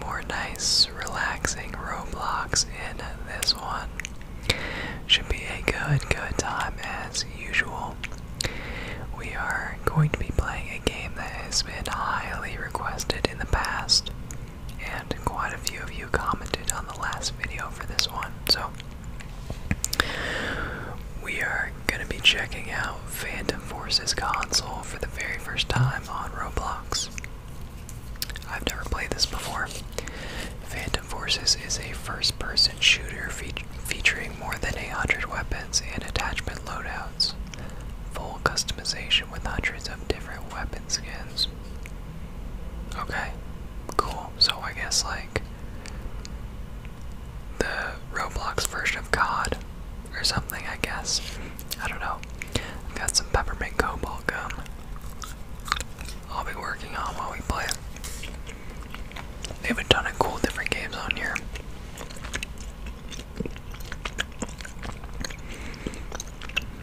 more nice, relaxing Roblox in this one. Should be a good, good time as usual. We are going to be playing a game that has been highly requested in the past, and quite a few of you commented on the last video for this one. So, we are going to be checking out Phantom Forces console for the very first time on Roblox. I've never played this before. Phantom Forces is a first person shooter featuring more than hundred weapons and attachment loadouts, full customization with hundreds of different weapon skins. Okay, cool. So I guess like the Roblox version of COD or something, I guess. I don't know. I've got some peppermint cobalt gum. I'll be working on while we play. They have a ton of cool different games on here.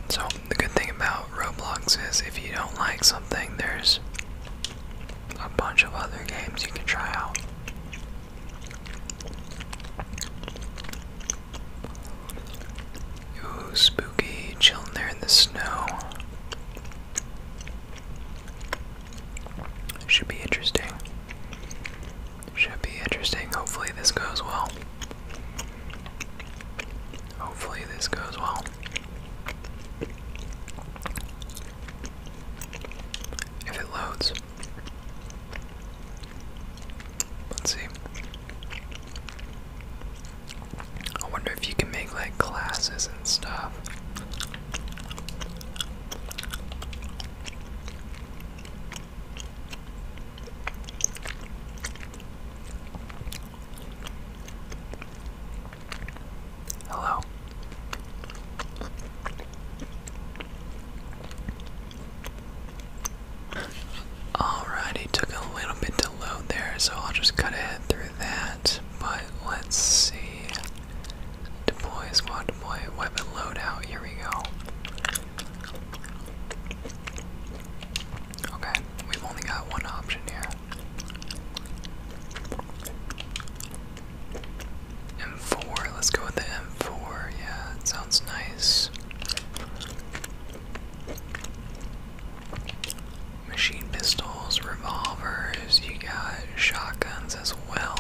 So, the good thing about Roblox is if you don't like something, there's a bunch of other games you can try out. Ooh, spooky, chilling there in the snow. Should be interesting. Should be interesting. Hopefully, this goes well. Hopefully, this goes well. If it loads, Let's see. I wonder if you can make like classes and stuff. Hello. Alright, took a little bit to load there, so I'll just cut ahead through that. But let's see. Deploy squad, deploy weapon loadout. Here we go. Okay, we've only got one option here. M4, let's go with the M4. Yeah, it sounds nice machine pistols, revolvers, you got shotguns as well.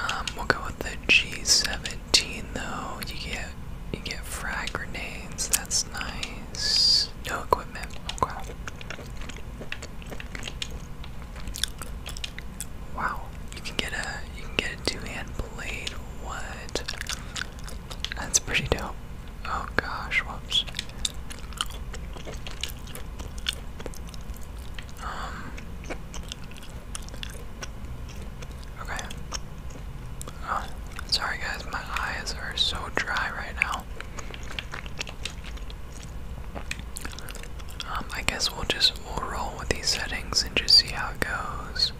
Um, we'll go with the G17 though. You get you get frag grenades, that's nice. No equipment. Okay. Wow, you can get a you can get a two-hand blade. What? That's pretty dope. Oh gosh, whoops. Um, okay. Oh, sorry guys, my eyes are so dry right now. Um, I guess we'll just we'll roll with these settings and just see how it goes.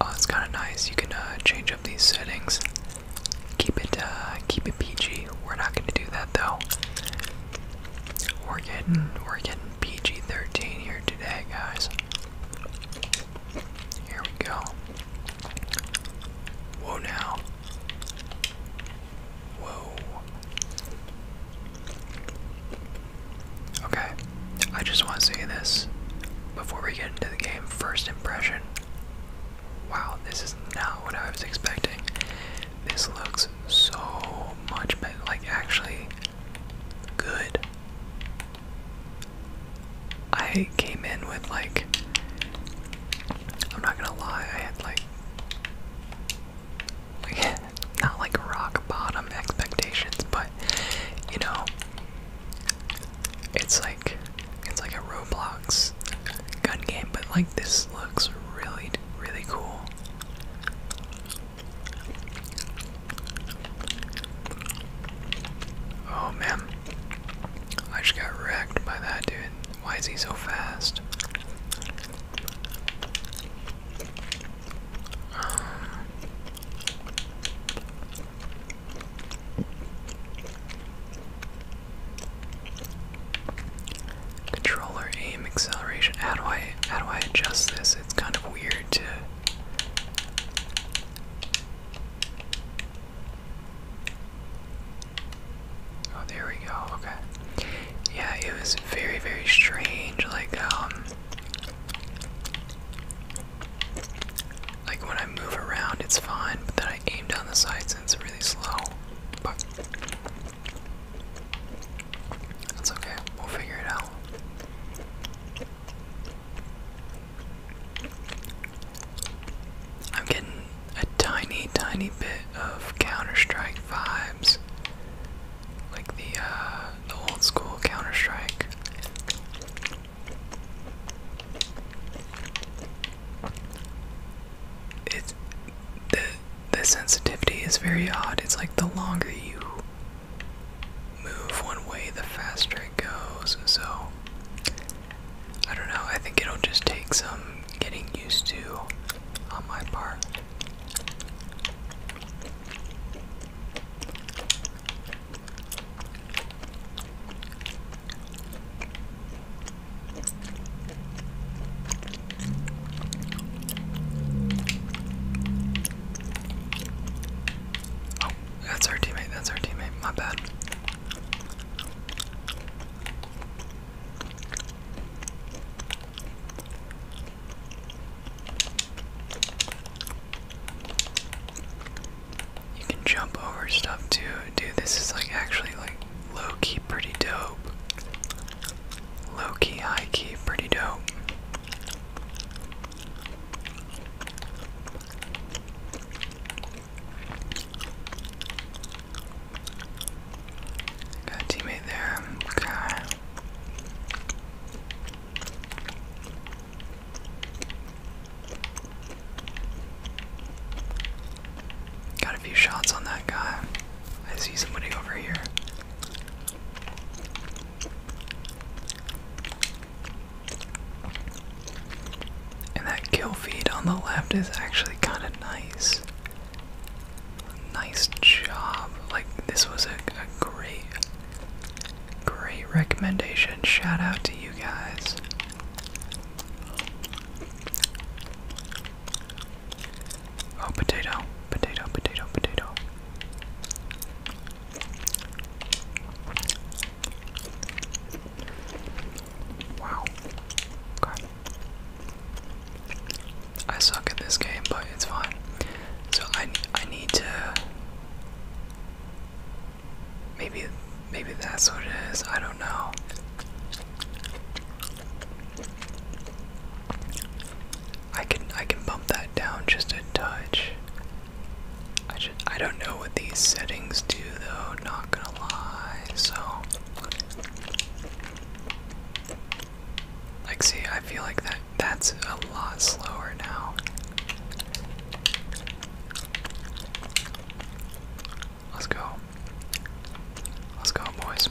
Oh, it's kind of nice. You can uh, change up these settings. Keep it, uh, keep it PG. We're not going to do that though. We're getting, we're getting PG-13 here today, guys. Here we go. Whoa now. Whoa. Okay. I just want to say this before we get into the game. First impression. Wow, this is not what I was expecting. This looks so much Like, actually, good. I came in with, like, I'm not gonna lie, I had, like, not like rock bottom expectations, but you know, it's like it's like a Roblox gun game, but like this looks really, really cool. Oh man, I just got wrecked by that dude. Why is he so fast? controller aim acceleration. How do I how do I adjust this? It's kind of weird to Oh, there we go. Okay. Yeah, it was very, very strange. Like, um, like when I move around, it's fine, but then I aim down the sights and it's really slow. But that's okay. We'll figure it out. I'm getting a tiny, tiny bit of Counter Strike vibes like the uh, the old school Counter Strike. It the the sensitivity is very odd. It's like the longer you move one way, the faster it goes. So I don't know. I think it'll just take some getting used to on my part. Oh, that's our teammate, that's our teammate, my bad. You can jump over stuff too. Dude, this is like actually like low key pretty dope. Low key, high key, pretty dope. Got a teammate there. Okay. Got a few shots on that guy. I see somebody over here. And that kill feed on the left is actually kind of nice. Nice job. Like, this was a, a great, great recommendation. Shout out to you guys. Oh, potato, potato, potato, potato. Wow. Okay. I suck at this game, but it's fine. So I I need to maybe maybe that's what it is. I don't know. I can I can bump that down just a touch. I should I don't know what these settings do though, not gonna lie, so like, see, I feel like that that's a lot slower now. Let's go. Let's go, boys.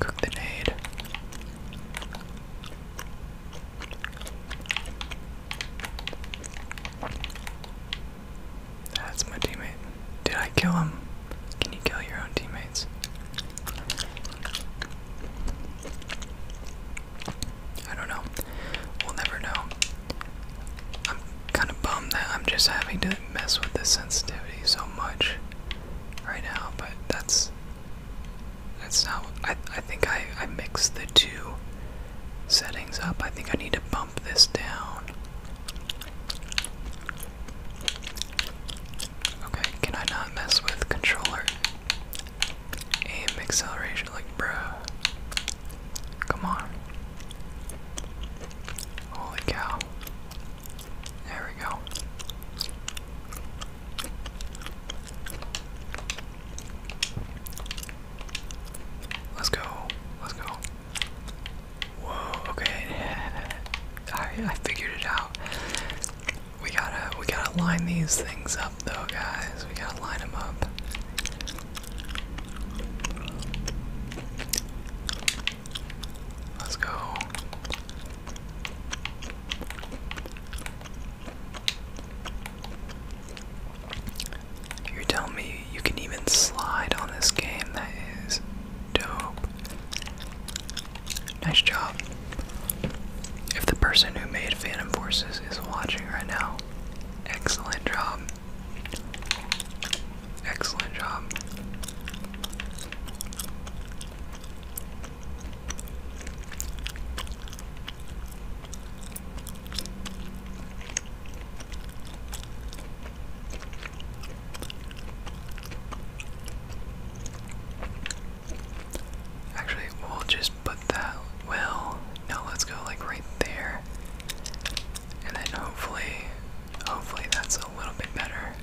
Cook the nade. That's my teammate. Did I kill him? Can you kill your own teammates? I don't know. We'll never know. I'm kind of bummed that I'm just having to mess with the sensitivity so much right now, but that's that's not. I I think I I mixed the two settings up. I think I need to bump Okay, can I not mess with controller? Aim acceleration, like, bruh. Come on. Holy cow. There we go. Let's go. Let's go. Whoa, okay. Alright, I figured it out. We gotta we gotta line these things up though guys. We gotta line them up. Let's go. You're telling me you can even slide on this game? That is dope. Nice job. If the person who made Phantom Forces is watching right now, excellent job. Excellent job. Actually, we'll just put that, well, no, let's go like right there. And then hopefully, hopefully that's a little bit better.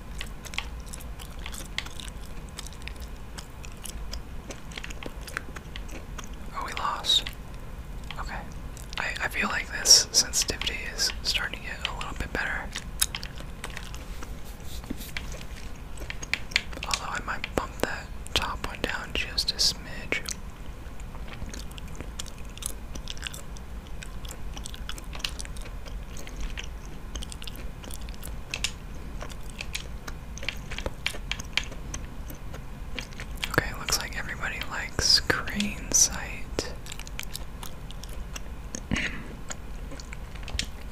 Oh, we lost. Okay. I, I feel like this sensitivity is starting to get a little bit better. Although I might bump that top one down just a smidge. Okay, looks like everybody likes crane sight. you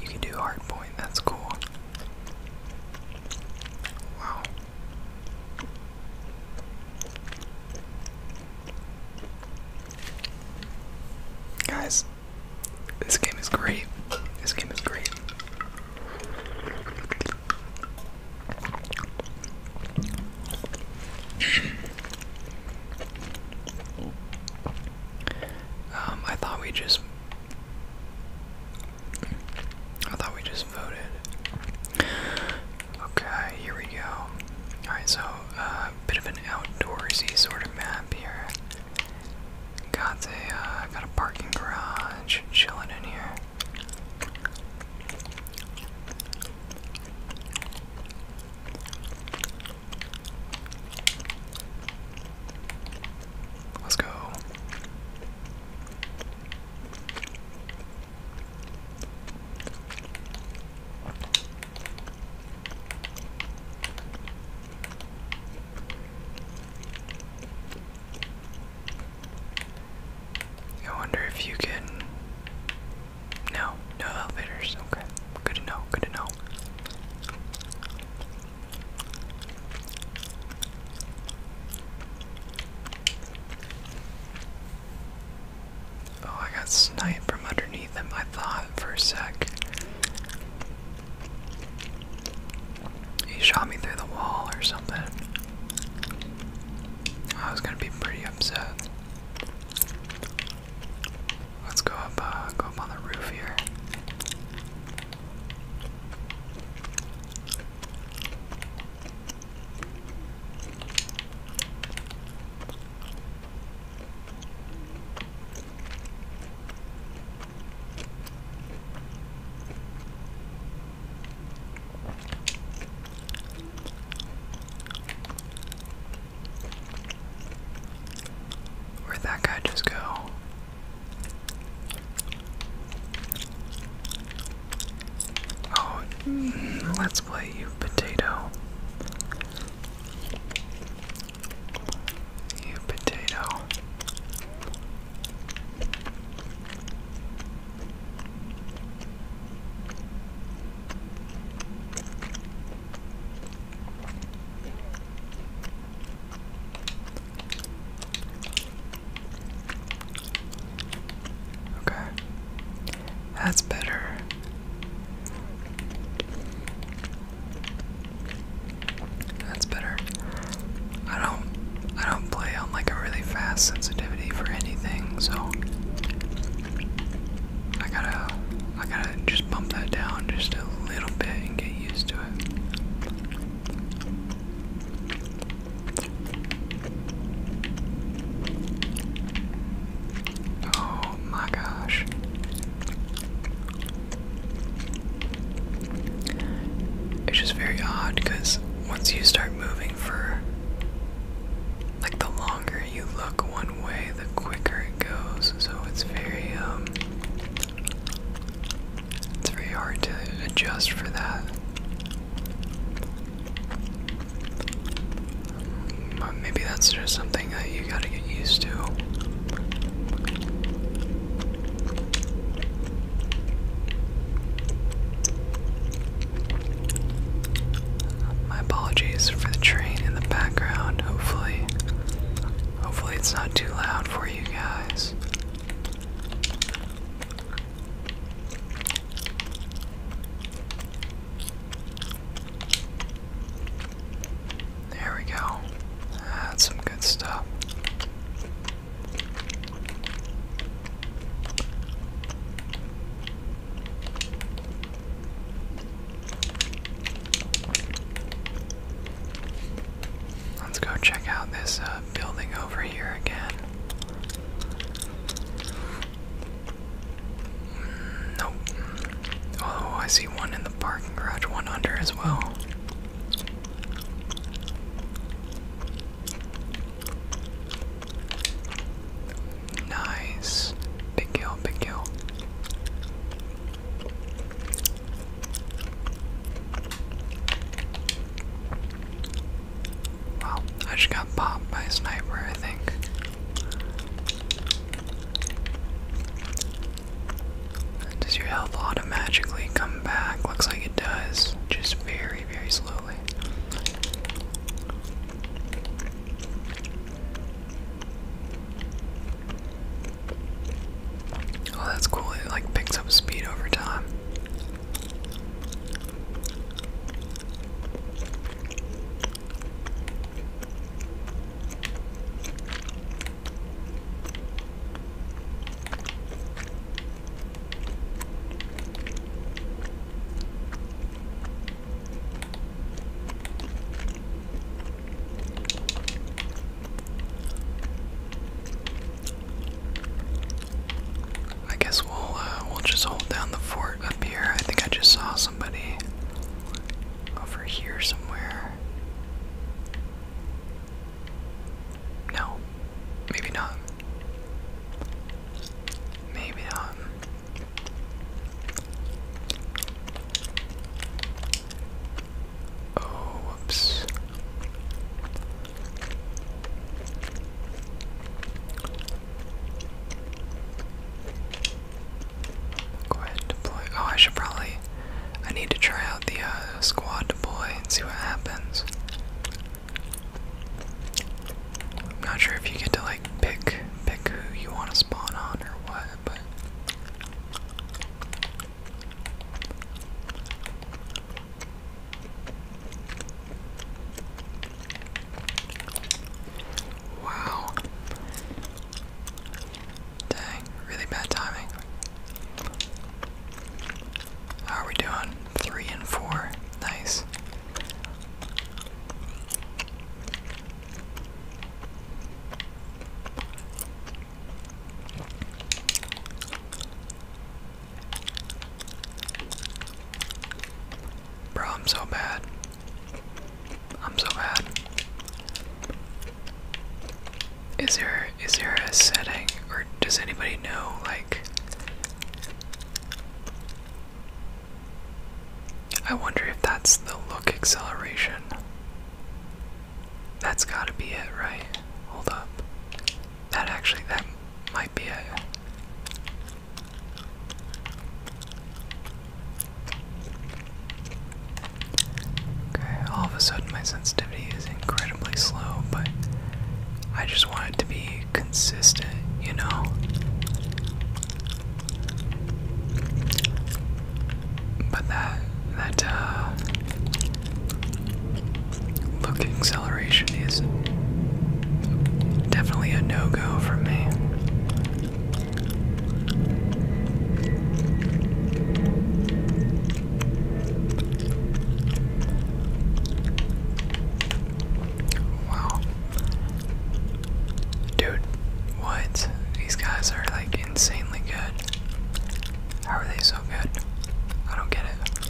can do hard point, that's cool. Wow. Guys, this game is great. This game is great. Um, I thought we just. I thought we just voted. Okay, here we go. Alright, so a uh, bit of an outdoorsy sort of map here. Got a uh, got a parking garage chilling in here. Let's go. I wonder if you can no, no elevators. Okay, good to know, good to know. Oh, I got sniped from underneath him, I thought, for a sec. He shot me through the wall or something. I was gonna be pretty I'm set. Let's go up, uh, go up on the roof here. Where'd that guy just go? Oh, mm, let's play you potato. You potato. Okay, that's better. That's better. I don't I play on like a really fast sensitivity for anything, so I gotta I gotta just bump that down just a little bit and get used to it. Oh my gosh. It's just very odd because once you start moving for like the longer you look one way, the quicker it goes. So it's very um, it's very hard to adjust for that. But maybe that's just something that you gotta get used to. My apologies for the train in the background. Hopefully, hopefully it's not too loud for you guys. There we go. That's some good stuff. Let's go check out this uh, building over here again. Mm, nope. Oh, I see one in the parking garage, one under as well. Nice. Big kill, big kill. Wow, I just got popped by a sniper, I think. Does your health automatically come back? Looks like it does. Just very, very slow. Oh, that's cool. It like picks up speed over time. I guess we'll uh, we'll just hold down the fort up here. I think I just saw somebody over here somewhere. No, maybe not. Maybe not. Oh, whoops. Go ahead deploy. Oh, I should probably. I need to try out the uh, squad deploy and see what happens. I'm not sure if you get to like pick pick who you want to spawn on or what, but Wow. Dang, really bad timing. How are we doing? Three and four. Nice. Bro, I'm so bad. I'm so bad. Is there is there a setting or does anybody know like I wonder if that's the look acceleration. That's gotta be it, right? Hold up. That actually, that might be it. Okay, all of a sudden my sensitivity is incredibly slow, but I just want it to be consistent, you know? But that that look uh, acceleration is definitely a no-go for me. Wow. Dude, what? These guys are like insanely good. How are they so good? I don't get it.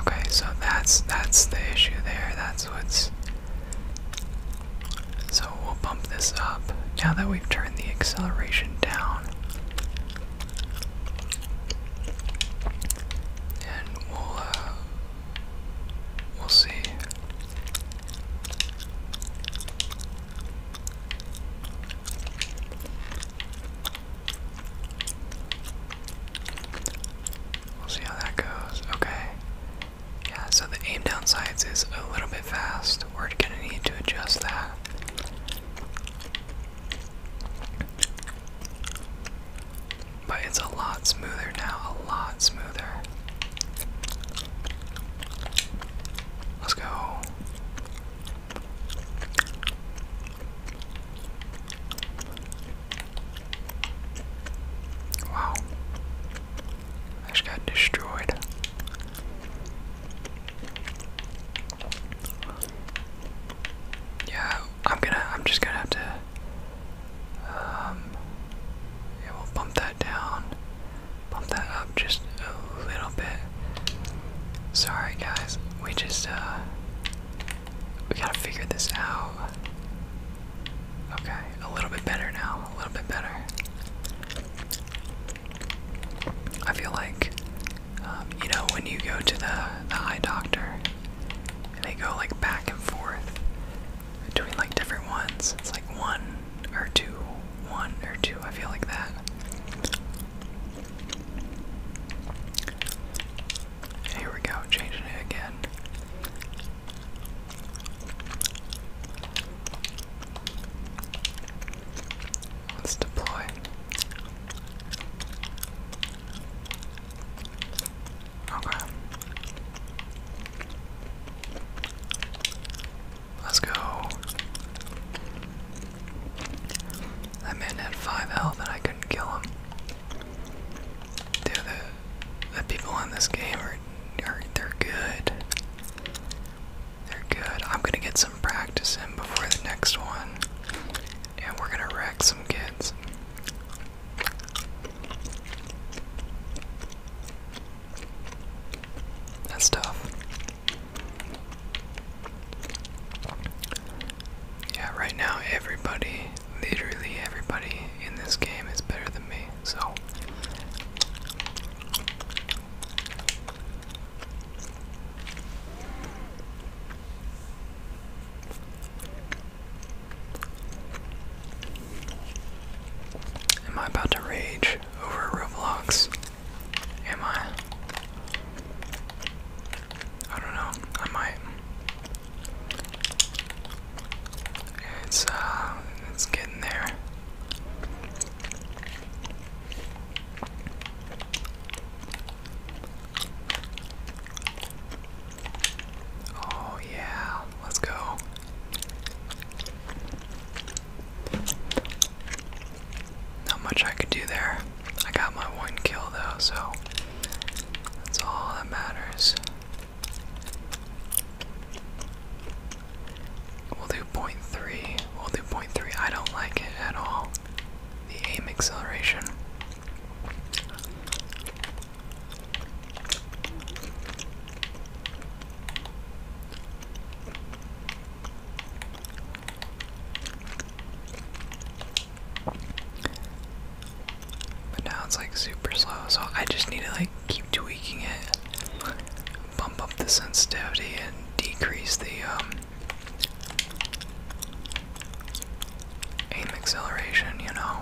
Okay, so that's that's the issue there. That's what's so we'll bump this up now that we've turned the acceleration down and we'll uh, we'll see. We'll see how that goes. Okay. Yeah, so the aim down sights is a little bit fast. We're gonna need to adjust that. But it's a lot smoother now, a lot smoother. Let's go. Wow. I just got destroyed. Yeah, I'm gonna. I'm just gonna have to. Um, yeah, we'll bump that down, bump that up just a little bit. Sorry, guys. We just uh, we gotta figure this out. Okay, a little bit better now. A little bit better. I feel like, um, you know, when you go to the, the eye doctor they go like back and forth between like different ones, it's like one or two, one or two. I feel like that. Here we go, changing it again. Let's deploy. Okay. Let's go. That man had five health and I couldn't kill him. Dude, the, people in this game are they're good. They're good. I'm gonna get some practice in before the next one. And we're gonna wreck some kids. That's tough. Yeah, right now everybody, literally everybody in this game is better than me, so Am I about to rage over Roblox? Am I? I don't know. I might. It's uh, it's getting there. Oh, yeah, let's go. Not much I could do there. I got my one kill though, so that's all that matters. We'll do point three. We'll do point three. I don't like it at all. The aim acceleration. But now it's like super slow, so I just need to like keep tweaking it bump up the sensitivity and decrease the um, aim acceleration, you know.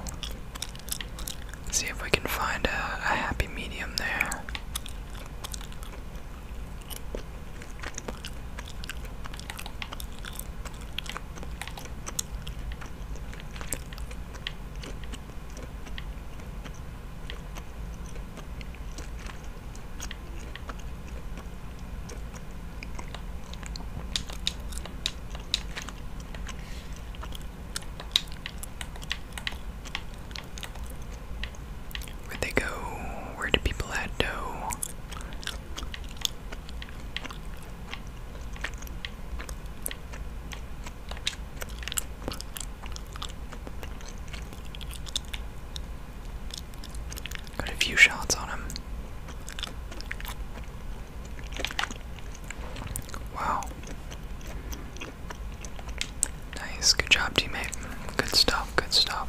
see if we can find a happy medium there. Where'd they go? Where do people add dough? Got a few shots on him. Wow. Nice. Good job, teammate. Good stuff. Good stuff.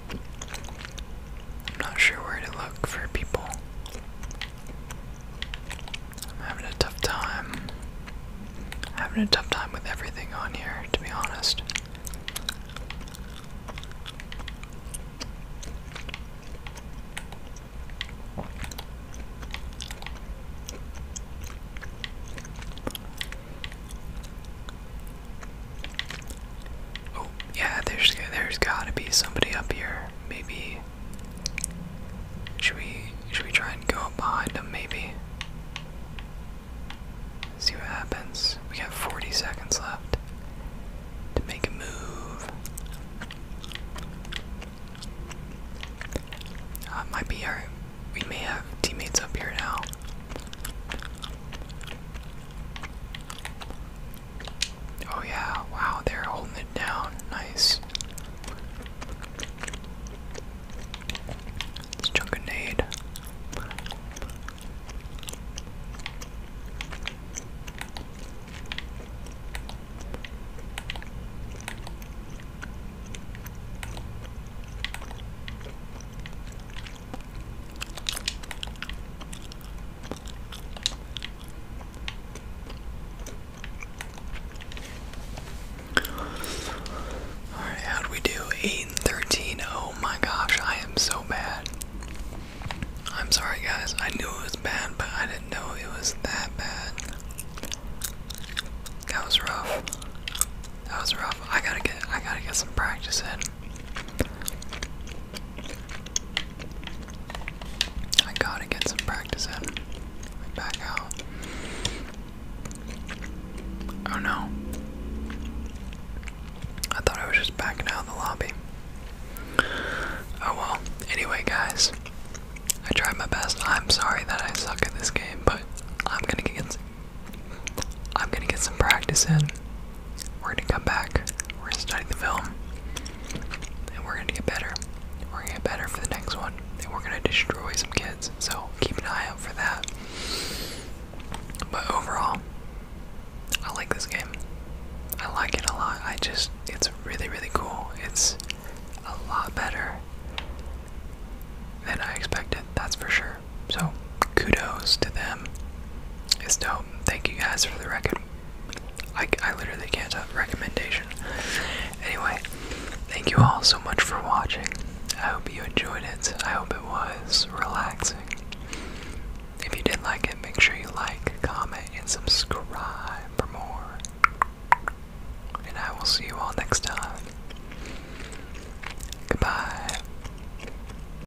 I'm not sure where to look for people. I'm having a tough time. having a tough time with everything on here, to be honest. Oh, yeah, there's there's gotta be somebody up here. Maybe should we should we try and go up behind them maybe? See what happens. We got 40 seconds left to make a move. Uh, might be our. We may have teammates up here now. Oh yeah, wow, they're holding it down. Nice. Let's chuck a nade. Alright, how do we do? 8 and 13. Oh my gosh, I am so bad. I'm sorry, guys. I knew it was bad, but I didn't know it was that bad. That was rough. That was rough. I gotta get I gotta get some practice in. I gotta get some practice in. Back out. Oh no. I thought I was just backing out of the lobby. Oh well. Anyway, guys, I tried my best. I'm sorry that I suck at this game, but I'm gonna get I'm gonna get some practice in. We're gonna come back, we're gonna study the film, and we're gonna get better. We're gonna get better for the next one, and we're gonna destroy some kids. So keep an eye out for that. But overall, I like this game. I like it a lot. I just, it's really, really cool. It's a lot better than I expected, that's for sure. So, kudos to them. It's dope. Thank you guys for the record. I, I literally can't have recommendation. Anyway, thank you all so much for watching. I hope you enjoyed it. I hope it was relaxing. If you did like it, make sure you like, comment, and subscribe for more. And I will see you all next time. Goodbye.